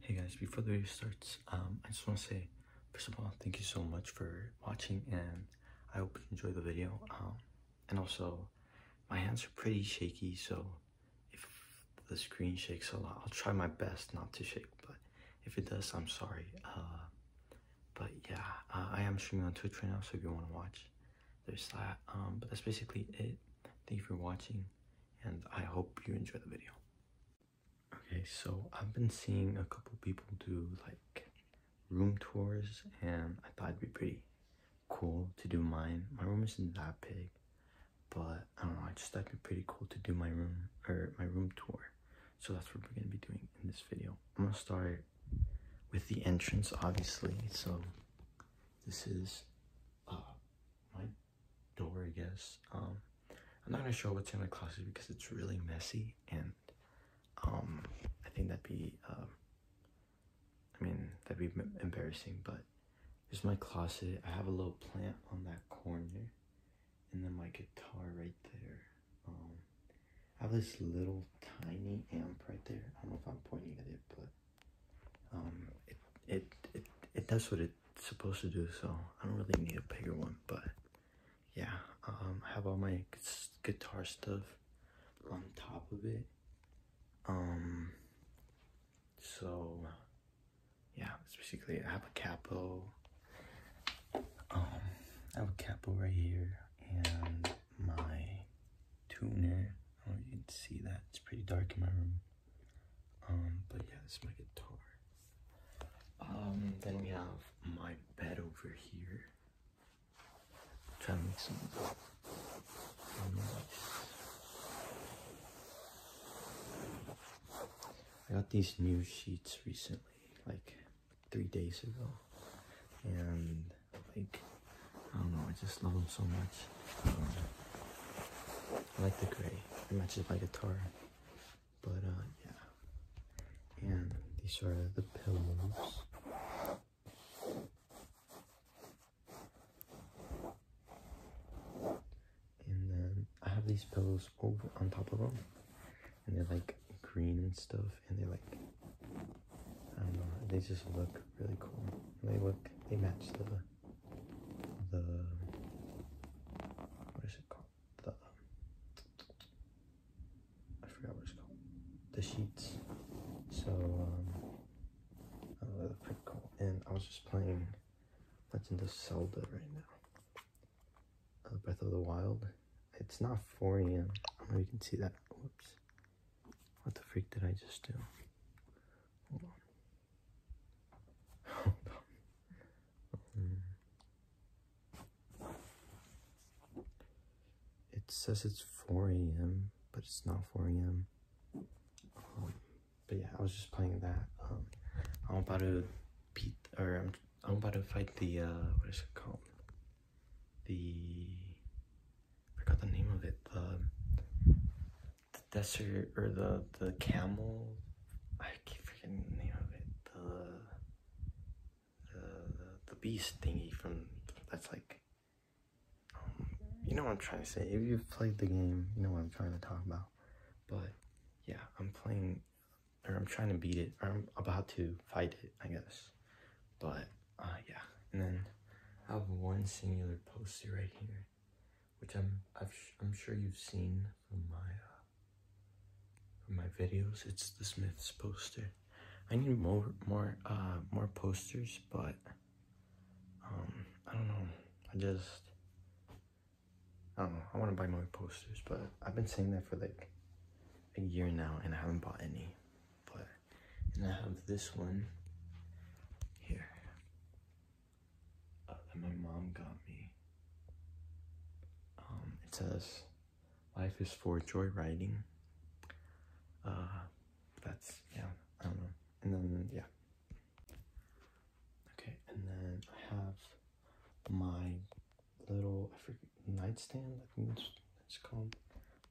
Hey guys, before the video starts, um, I just want to say, first of all, thank you so much for watching and I hope you enjoy the video. Um, and also, my hands are pretty shaky, so if the screen shakes a lot, I'll try my best not to shake, but if it does, I'm sorry. Uh, but yeah, uh, I am streaming on Twitch right now, so if you want to watch, there's that. Um, but that's basically it. Thank you for watching and I hope you enjoy the video. Okay, so I've been seeing a couple people do like room tours and I thought it'd be pretty cool to do mine. My room isn't that big, but I don't know, I just thought it'd be pretty cool to do my room or my room tour. So that's what we're gonna be doing in this video. I'm gonna start with the entrance, obviously. So this is uh, my door, I guess. Um, I'm not gonna show what's in my closet because it's really messy, and um, I think that'd be, um, I mean, that'd be embarrassing. But there's my closet. I have a little plant on that corner, and then my guitar right there. I have this little tiny amp right there. I don't know if I'm pointing at it, but um, it, it, it, does what it's supposed to do, so I don't really need a bigger one, but yeah, um, I have all my guitar stuff on top of it. Um, so yeah, it's basically, I have a capo, um, I have a capo right here, and my tuner, I you can see that, it's pretty dark in my room. Um, but yeah, this my guitar. Um, then we have my bed over here. i trying to make some I got these new sheets recently, like three days ago. And like, I don't know, I just love them so much. I like the gray. It matches my guitar. But uh, yeah. And these are the pillows. And then I have these pillows over on top of them. And they're like green and stuff. And they're like, I don't know, they just look really cool. they look, they match the the what is it called? The I forgot what it's called. The sheets. So um, I the pretty cool. And I was just playing Legend of Zelda right now. Uh, Breath of the Wild. It's not 4 a.m. I don't know you can see that. Whoops. What the freak did I just do? Hold on. it says it's 4 a.m., but it's not 4 a.m. Um, but yeah, I was just playing that. Um, I'm about to beat, or I'm, I'm about to fight the, uh, what is it called? The, I forgot the name of it, the desert or the the camel. I keep forgetting the name of it. The the the, beast thingy from that's like. Um, you know what I'm trying to say. If you've played the game, you know what I'm trying to talk about. But yeah, I'm playing, or I'm trying to beat it, or I'm about to fight it, I guess. But uh, yeah, and then I have one singular poster right here which I'm i am sure you've seen from my uh, from my videos. It's the Smiths poster. I need more more uh, more posters, but um, I don't know. I just I don't know. I want to buy more posters, but I've been saying that for like a year now, and I haven't bought any. But and I have this one here uh, my mom got me. Um, it says, "Life is for joyriding." Uh, that's yeah, I don't know. And then yeah, okay. And then I have my little I forget nightstand. I think it's, it's called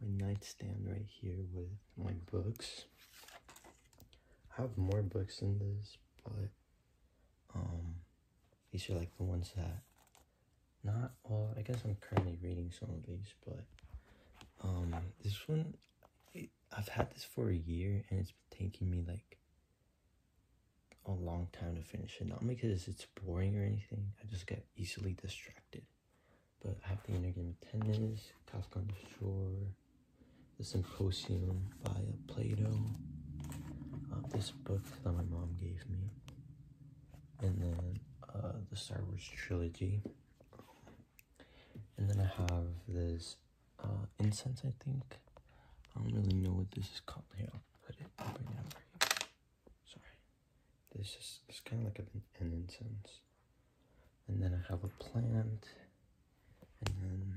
my nightstand right here with my books. I have more books than this, but um, these are like the ones that not all. I guess I'm currently reading some of these, but um, this one I've had this for a year, and it's been taking me like a long time to finish it. Not because it's boring or anything. I just get easily distracted. But I have the inner game of tennis, Kafka the Shore, The Symposium by Plato, uh, this book that my mom gave me, and then uh, the Star Wars trilogy. And then I have this uh, incense, I think. I don't really know what this is called. Here, I'll put it right now. Sorry. This is it's kind of like an incense. And then I have a plant. And then,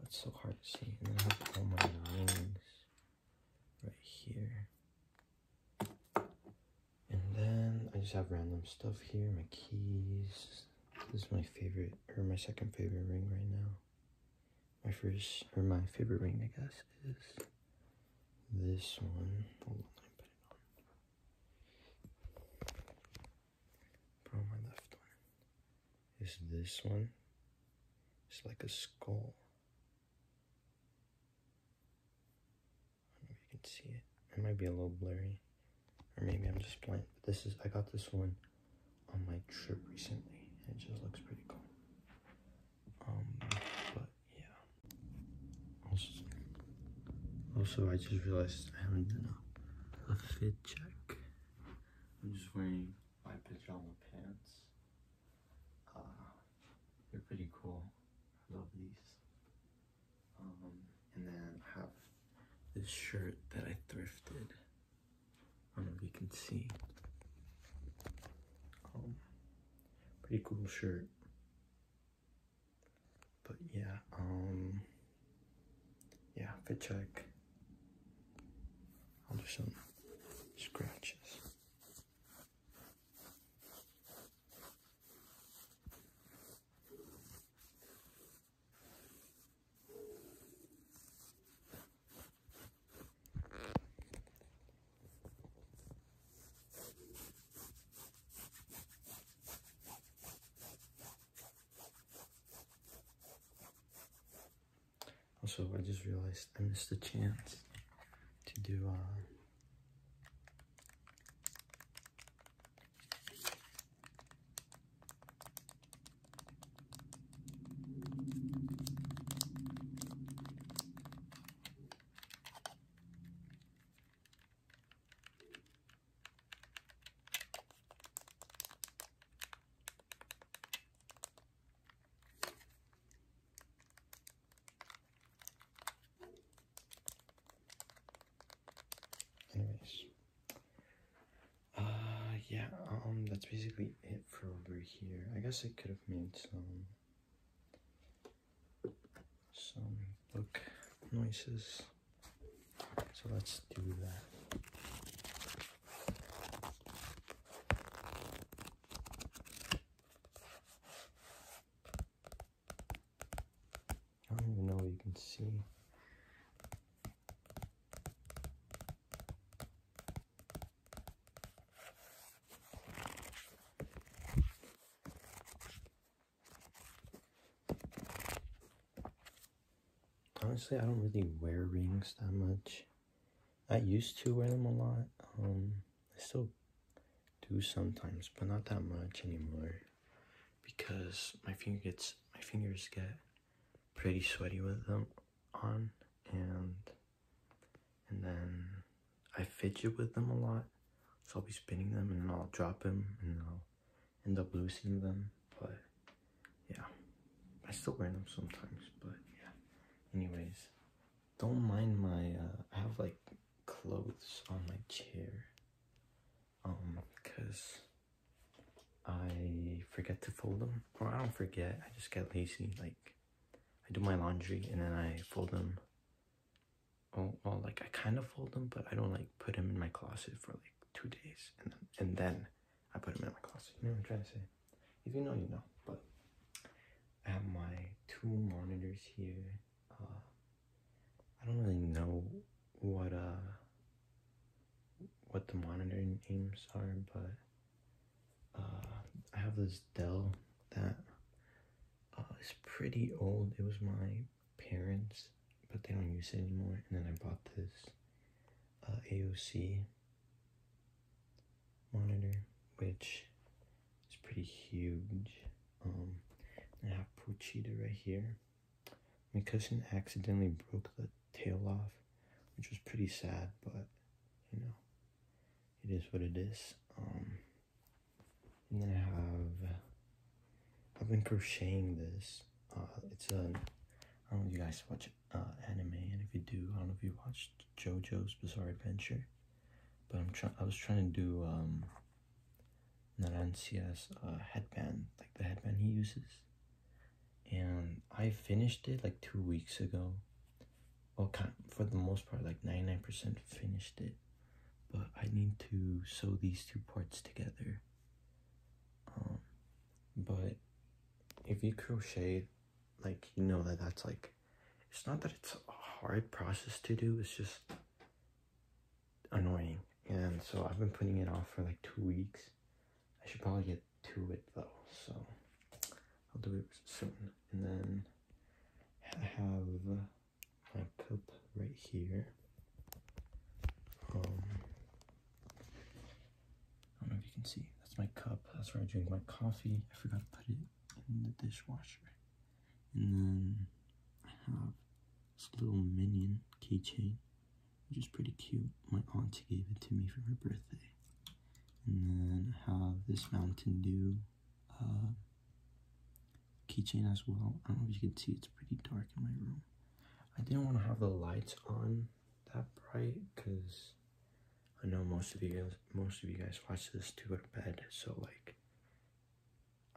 that's so hard to see. And then I have all my rings right here. And then I just have random stuff here, my keys. This is my favorite, or my second favorite ring right now. My first, or my favorite ring, I guess, is this one. Probably my left one is this one. It's like a skull. I you can see it. It might be a little blurry. Or maybe I'm just blind. But this is, I got this one on my trip recently. It just looks pretty cool. Um, but yeah. Also, I just realized I haven't done a, fit check. I'm just wearing my pajama pants. Uh, they're pretty cool. I love these. Um, and then I have this shirt that I thrifted. I don't know if you can see. Um, pretty cool shirt. But yeah, um, yeah, if I check, I'll do some scratches. Also, I just realized I missed the chance to do uh, Anyways, uh, yeah, um, that's basically it for over here. I guess I could have made some some book noises. So let's do that. I don't even know you can see. Honestly, I don't really wear rings that much. I used to wear them a lot. Um, I still do sometimes, but not that much anymore because my finger gets my fingers get pretty sweaty with them on and and then I fidget with them a lot, so I'll be spinning them and then I'll drop them and I'll end up losing them. But yeah, I still wear them sometimes. But yeah, anyways, don't mind my. Uh, I have like clothes on my chair, um, cause I forget to fold them, or I don't forget. I just get lazy. Like I do my laundry and then I fold them oh well like i kind of fold them but i don't like put them in my closet for like two days and then, i put them in my closet you i'm trying to say if you know you know but i have my two monitors here uh, i don't really know what uh what the monitor names are but uh, i have this dell that uh, is pretty old it was my parents, but they don't use it anymore. And then I bought this uh, AOC monitor, which is pretty huge. Um, I have Puchita right here. My cousin accidentally broke the tail off, which was pretty sad, but you know, it is what it is. Um, and then I have, I've been crocheting this. Uh, it's a, I don't know if you guys watch uh, anime, and if you do, I don't know if you watched JoJo's Bizarre Adventure, but I'm trying, I was trying to do, um, Narancia's uh, headband, like the headband he uses. And I finished it like two weeks ago. Well, for the most part, like 99% finished it but I need to sew these two parts together. Um, but if you crochet, like, you know that that's like, it's not that it's a hard process to do, it's just annoying. And so I've been putting it off for like two weeks. I should probably get to it though, so I'll do it soon. And then I have I cup right here. Um, I don't know if you can see. That's my cup. That's where I drink my coffee. I forgot to put it in the dishwasher. And then I have this little minion keychain, which is pretty cute. My auntie gave it to me for her birthday. And then I have this Mountain Dew uh, keychain as well. I don't know if you can see, it's pretty dark in my room. I didn't want to have the lights on that bright because I know most of you guys, most of you guys watch this to go to bed. So like,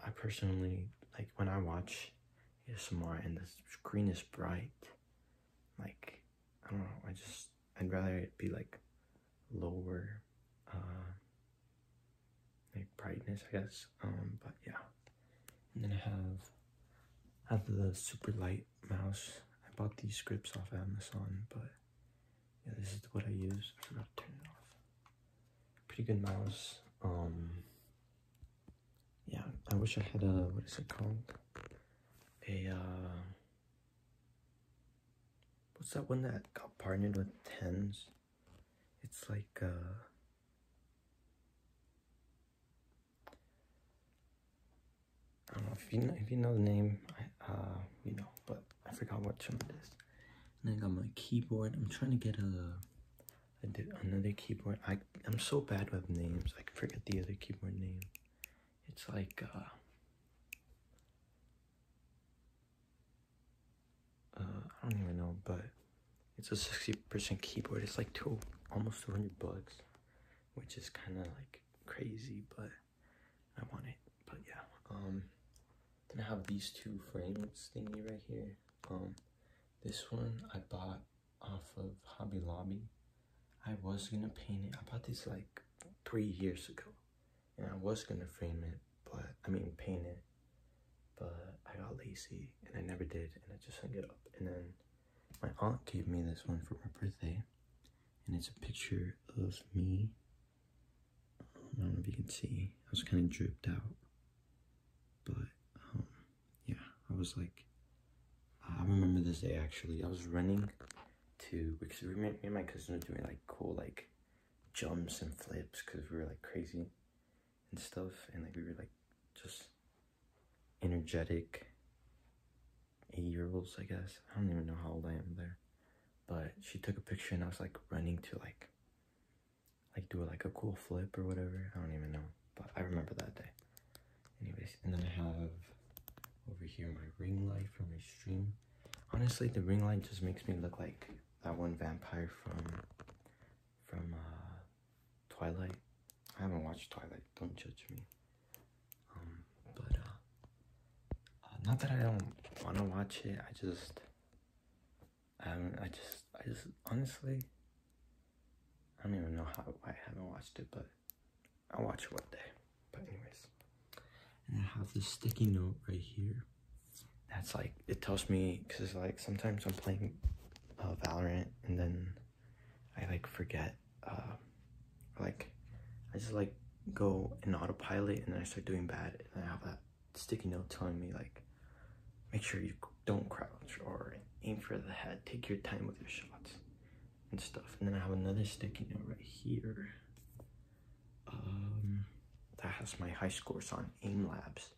I personally like when I watch ASMR and the screen is bright. Like, I don't know. I just I'd rather it be like lower uh, like brightness, I guess. Um, but yeah. And then I have I have the super light mouse. I bought these scripts off Amazon, but yeah, this is what I use. I forgot to turn it off. Pretty good mouse. Um, yeah, I wish I had a what is it called? A uh, what's that one that got partnered with Tens? It's like uh I don't know if you know if you know the name, I uh you know, but I forgot what trim it is. And I got my keyboard. I'm trying to get a I did another keyboard. I I'm so bad with names. I forget the other keyboard name. It's like uh uh, I don't even know, but it's a 60% keyboard. It's like two, almost 200 bucks, which is kind of like crazy, but I want it. But yeah, um, then I have these two frames thingy right here. Um, this one I bought off of Hobby Lobby. I was gonna paint it. I bought this like three years ago and I was gonna frame it, but I mean paint it, but I got lazy and I never did, and I just hung it up. And then my aunt gave me this one for my birthday, and it's a picture of me. I don't know if you can see. I was kind of drooped out, but um, yeah, I was like, I remember this day actually. I was running to because we, me and my cousin were doing like cool like jumps and flips because we were like crazy and stuff and like we were like just energetic eight year olds I guess I don't even know how old I am there but she took a picture and I was like running to like like do like a cool flip or whatever I don't even know but I remember that day anyways and then I have over here my ring light for my stream honestly the ring light just makes me look like that one vampire from from uh, Twilight. I haven't watched Twilight. Don't judge me. Um, but uh, uh not that I don't want to watch it. I just I I just I just honestly I don't even know how I haven't watched it, but I'll watch it one day. But anyways. And I have this sticky note right here. That's like, it tells me, because like sometimes I'm playing uh, Valorant and then I like forget, uh, like I just like go in autopilot and then I start doing bad and I have that sticky note telling me like, make sure you don't crouch or aim for the head, take your time with your shots and stuff. And then I have another sticky note right here um, that has my high scores on AIM Labs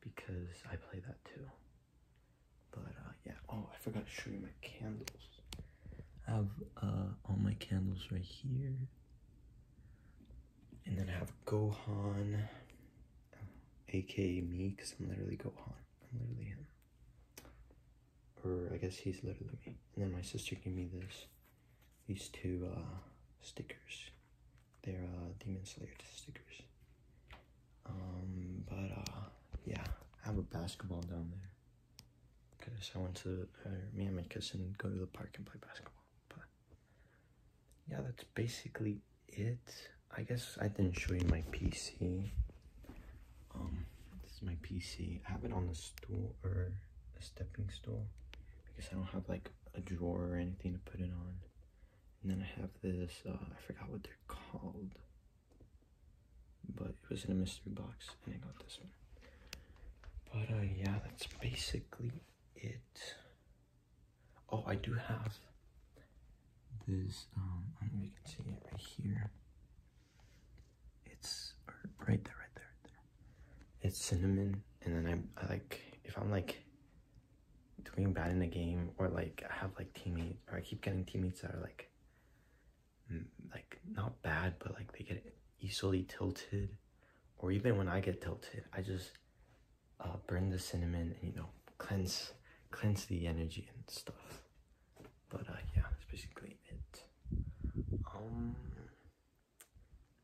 because I play that too. But uh, yeah, oh, I forgot to show you my candles. I have uh, all my candles right here. And then I have Gohan, aka me, because I'm literally Gohan. I'm literally him. Or I guess he's literally me. And then my sister gave me this these two uh, stickers. They're uh, Demon Slayer stickers. Um, but uh, yeah, I have a basketball down there because I went to uh, me and my cousin go to the park and play basketball. But yeah, that's basically it. I guess I didn't show you my PC. Um, this is my PC. I have it on the stool a stepping stool because I don't have like a drawer or anything to put it on. And then I have this, uh, I forgot what they're called, but it was in a mystery box and I got this one. But uh, yeah, that's basically it. Oh, I do have this, um, I don't know if you can see it right here. It's right there, right there, right there it's cinnamon and then I, I like if I'm like doing bad in a game or like I have like teammates or I keep getting teammates that are like mm, like not bad but like they get easily tilted or even when I get tilted I just uh, burn the cinnamon and you know cleanse cleanse the energy and stuff but uh, yeah that's basically it um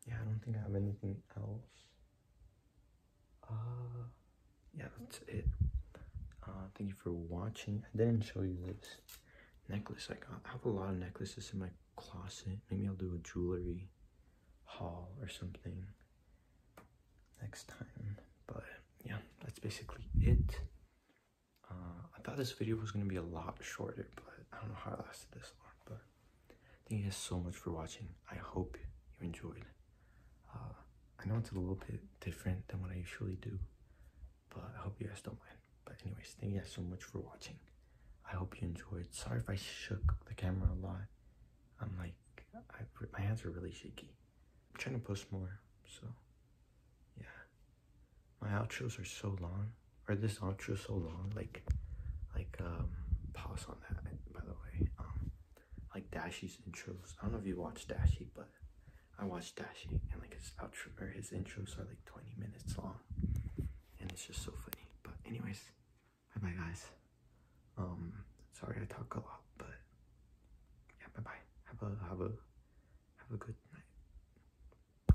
yeah, I don't think I have anything else. Uh, yeah, that's it. Uh, thank you for watching. I didn't show you this necklace I got. I have a lot of necklaces in my closet. Maybe I'll do a jewelry haul or something next time. But yeah, that's basically it. Uh, I thought this video was going to be a lot shorter, but I don't know how I lasted this long. But thank you guys so much for watching. I hope you enjoyed. Uh, I know it's a little bit different than what I usually do, but I hope you guys don't mind. But anyways, thank you guys so much for watching. I hope you enjoyed. Sorry if I shook the camera a lot. I'm like, I, my hands are really shaky. I'm trying to post more, so yeah my outros are so long, Are this outro so long, like, like, um, pause on that, by the way, um, like Dashy's intros, I don't know if you watch Dashy, but I watch Dashy, and, like, his outro, or his intros are, like, 20 minutes long, and it's just so funny, but anyways, bye-bye, guys, um, sorry I talk a lot, but, yeah, bye-bye, have a, have a, have a good night.